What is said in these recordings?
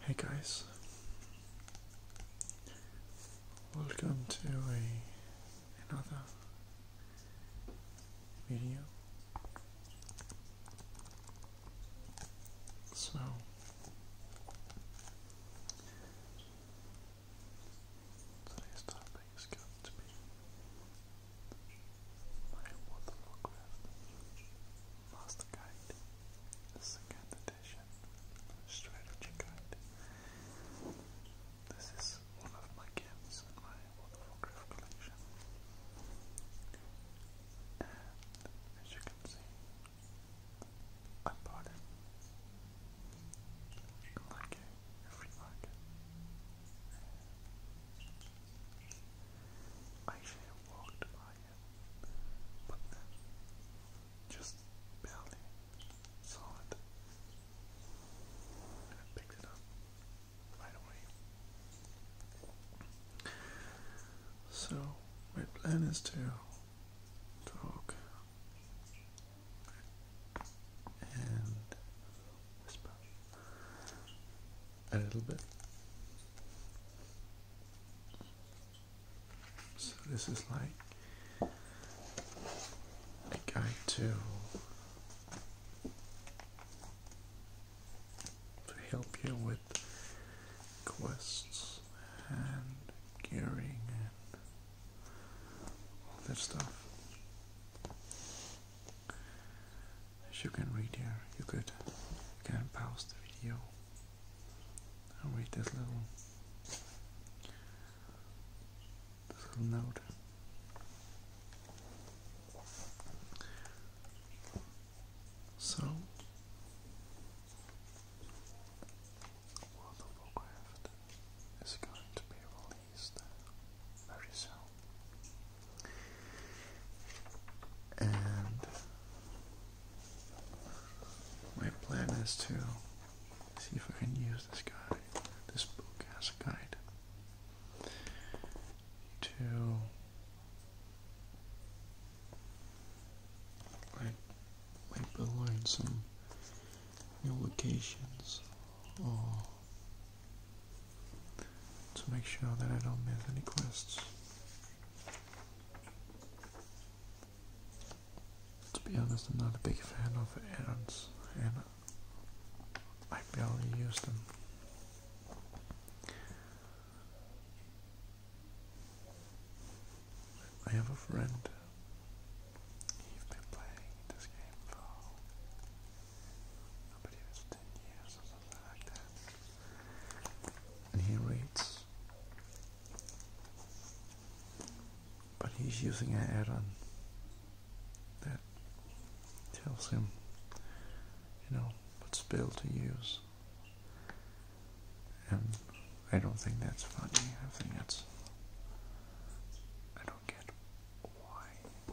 Hey guys, welcome to another video. So, today's topic is going to be my World of Master Guide, second edition, strategy guide. This is one of my games in my World of collection. as you can see, I bought it. Like a free market. I should walked by it, but then just barely saw it. And picked it up right away. So my plan is to talk and whisper a little bit. So this is like a guide to help you with quests and gearing and all that stuff. As you can read here, you could can pause the video and read this little this little note. So World of Warcraft is going to be released very soon. And my plan is to see if I can use this guide, this book as a guide, to like, learn some new locations to make sure that I don't miss any quests. To be honest, I'm not a big fan of errands, and I barely use them. I have a friend. He's been playing this game for I believe it's ten years or something like that. And he reads. But he's using a add-on that tells him, you know, what spell to use. And I don't think that's funny. I think that's. I don't get why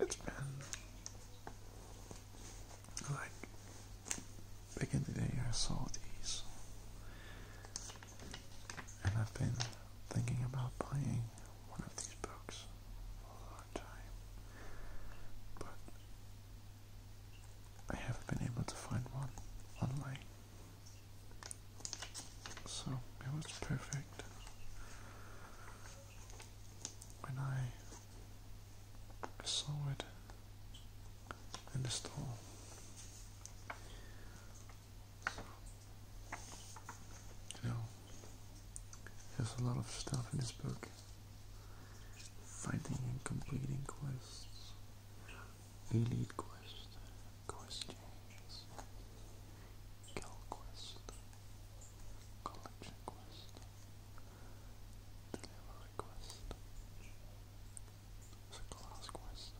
It's been like back in the day I saw these and I've been thinking about buying one of these books a long time but I haven't been able to find one online so it was perfect when I saw it in the store. you know, there's a lot of stuff in this book. Fighting and completing quests, Elite Quest, questions, Changes, Quest, Collection Quest, Delivery Quest, Class Quest,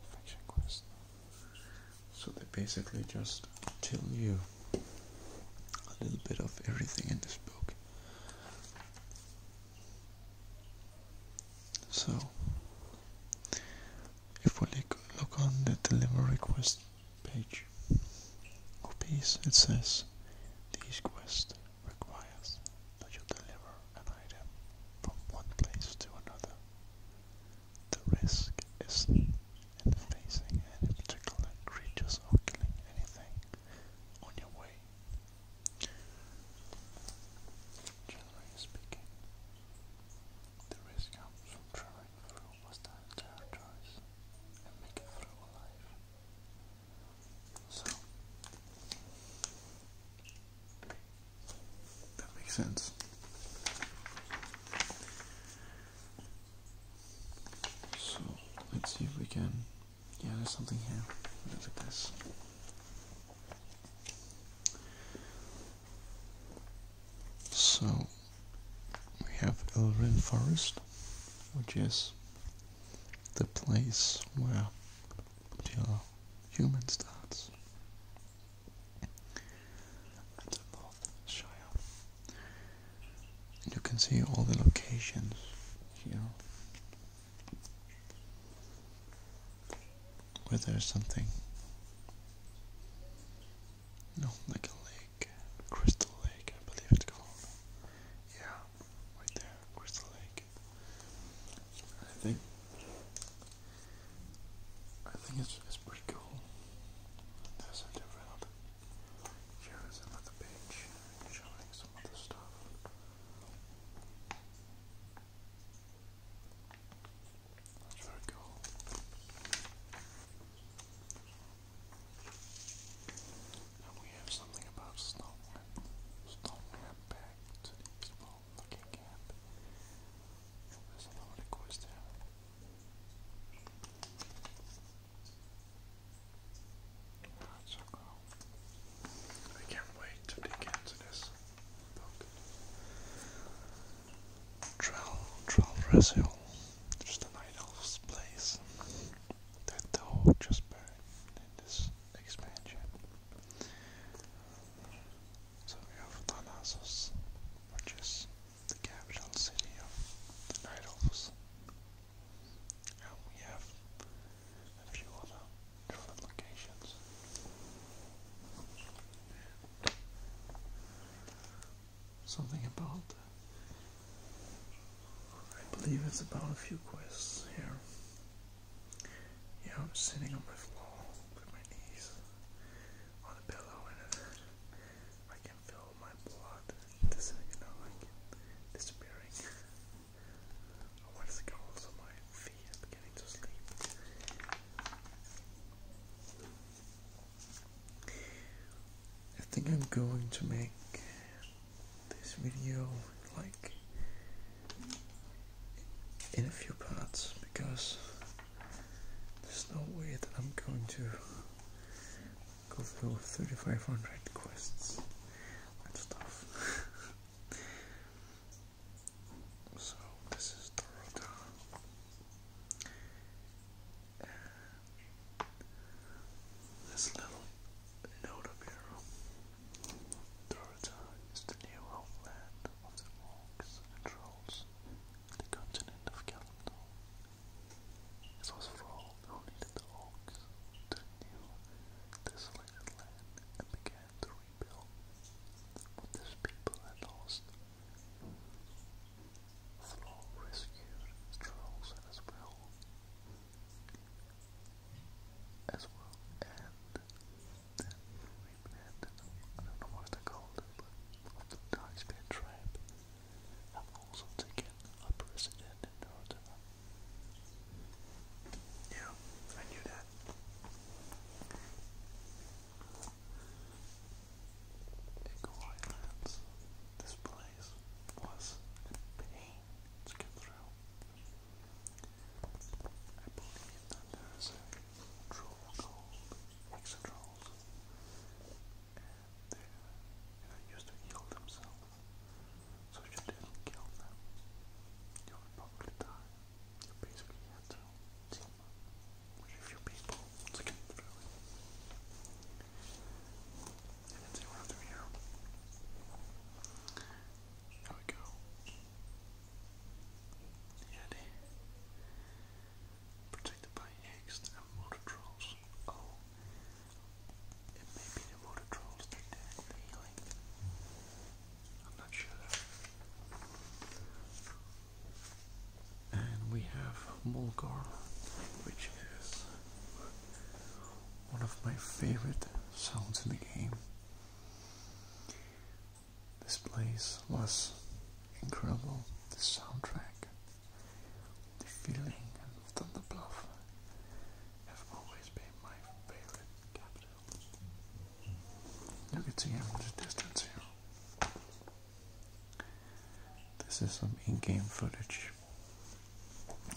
and Quest. So they basically just tell you a little bit of everything in this book. So, if we look on the delivery request page copies, it says this quest requires that you deliver an item from one place to another. The risk is in facing any particular creatures or killing anything on your way Generally speaking, the risk comes from traveling through hostile territories and make it through alive. So, that makes sense. So, let's see if we can yeah, there's something here. Look at this. So we have Elrin Forest, which is the place where the human starts at the you can see all the locations here where there's something. No, like a lake. Crystal Lake, I believe it's called. Yeah, right there, Crystal Lake. I think I think it's it's pretty cool. There's a different here's another page showing some other stuff. That's very cool. And we have something about Stonewham. Stonewham back to the looking camp. There's a lot of Wow. I can't wait to dig into this book. Trell, Trellresil, just an idol's place that the just burned in this expansion. So we have Thanasos, which is the capital city of the Night Elves. And we have a few other something about, I believe it's about a few quests here. Yeah, I'm sitting on my floor with my knees on a pillow and I can feel my blood, you know, like disappearing. I think I'm going to make this video like in a few parts because there's no way that I'm going to go through 3500 quests and stuff. So this is the this little note up here, Dorota is the new homeland of the orcs and trolls, the continent of Kalimdor. It was for who needed the orcs to renew this cleared land and began to rebuild what his people had lost. Thrall rescued Trolls as well, as well, and then replanted, I don't know what they called it, but of the Darkspear tribe have also taken up residence did Yeah, I knew that. In Kauai Lands, this place was a pain to get through. I believe that there is a troll called Hexatrolls, and they, you used to heal themselves so you didn't kill them, you probably die. You basically had to team up people to get through it. And it's right here. There we go. Yeti. Protected by eggs and water trolls. Oh. It may be the water trolls that did healing. I'm not sure And we have Mulgar, which is one of my favorite sounds in the game. This place was incredible, the soundtrack, the feeling of Thunderbluff have always been my favorite you can see how much distance here. This is some in-game footage.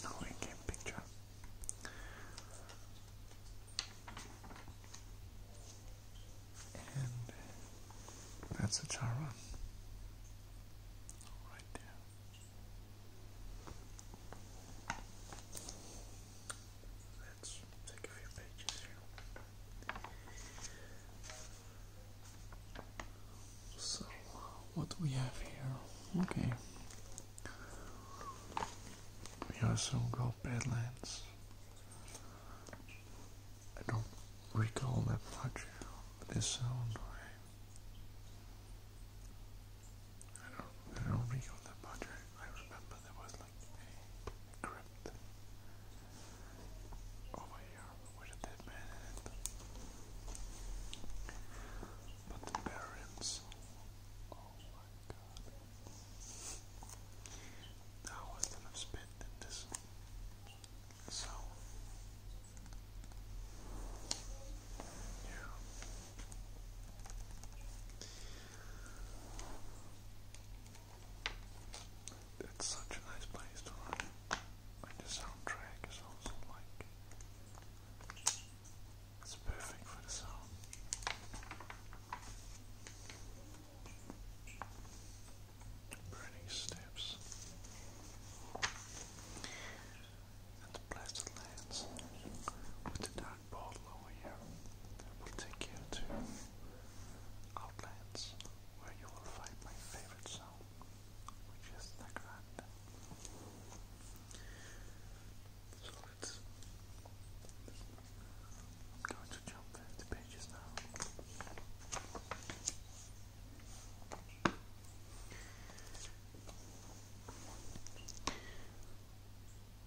No in-game picture. And that's a Charon. Right there. So, what do we have here? Okay. We also got Badlands. I don't recall that much, this sounds I don't, I don't recall the butter. I remember there was like a, crypt over here with a dead man in it. But the parents, oh my god. Now I have spit in this so it's such a nice place to run. And the soundtrack is also like it's perfect for the sound. Burning steps and the blessed lands with the black bottle over here will take you to outlets where you will find my favorite song, which is the grand. So let's. I'm going to jump 50 pages now.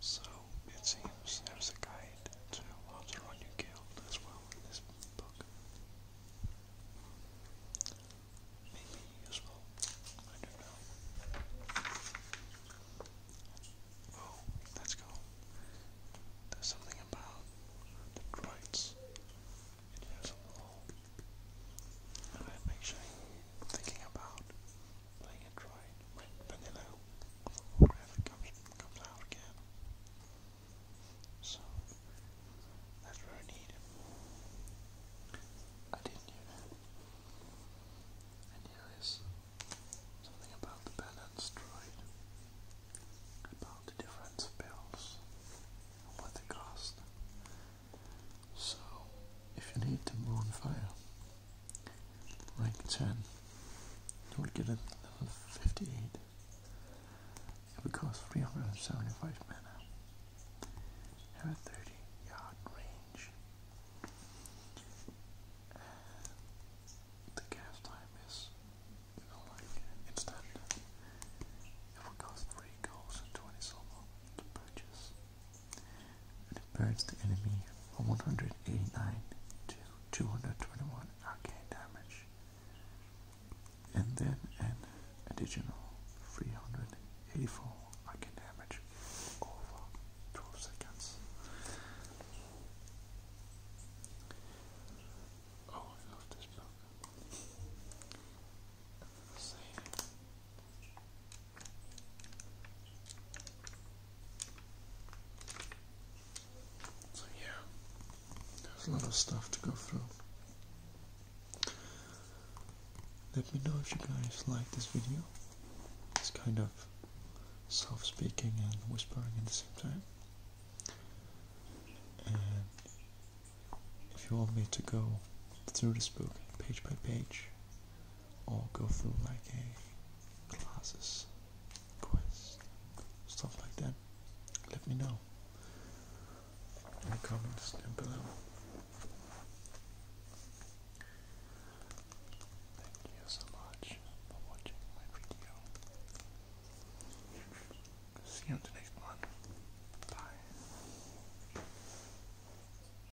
So it seems there's a guide to Alderaan you killed as well in this book. Maybe useful. I don't know. Oh, let's go. There's something about the droids. It has a little. I'm actually thinking about playing it dry, vanilla, whatever comes, comes out again. So, that's very neat. I didn't know that. And here is something about the balance droid, about the difference of and what they cost. So, if you need to bonfire, rank 10, you'll get another 58. It will cost 375 mana. Have a 30 yard range. the cast time is, like instant. It will cost 3 goals and 20 silver to purchase. It burns the enemy for 189 to 221 arcane damage. And then an additional 384 arcane damage over 12 seconds. Oh, I love this book. So yeah, there's a lot of stuff to go through. Let me know if you guys like this video. It's kind of soft speaking and whispering at the same time. And if you want me to go through this book page by page, all go through like a classes quest stuff like that let me know in the comments down below thank you so much for watching my video see you in the next one bye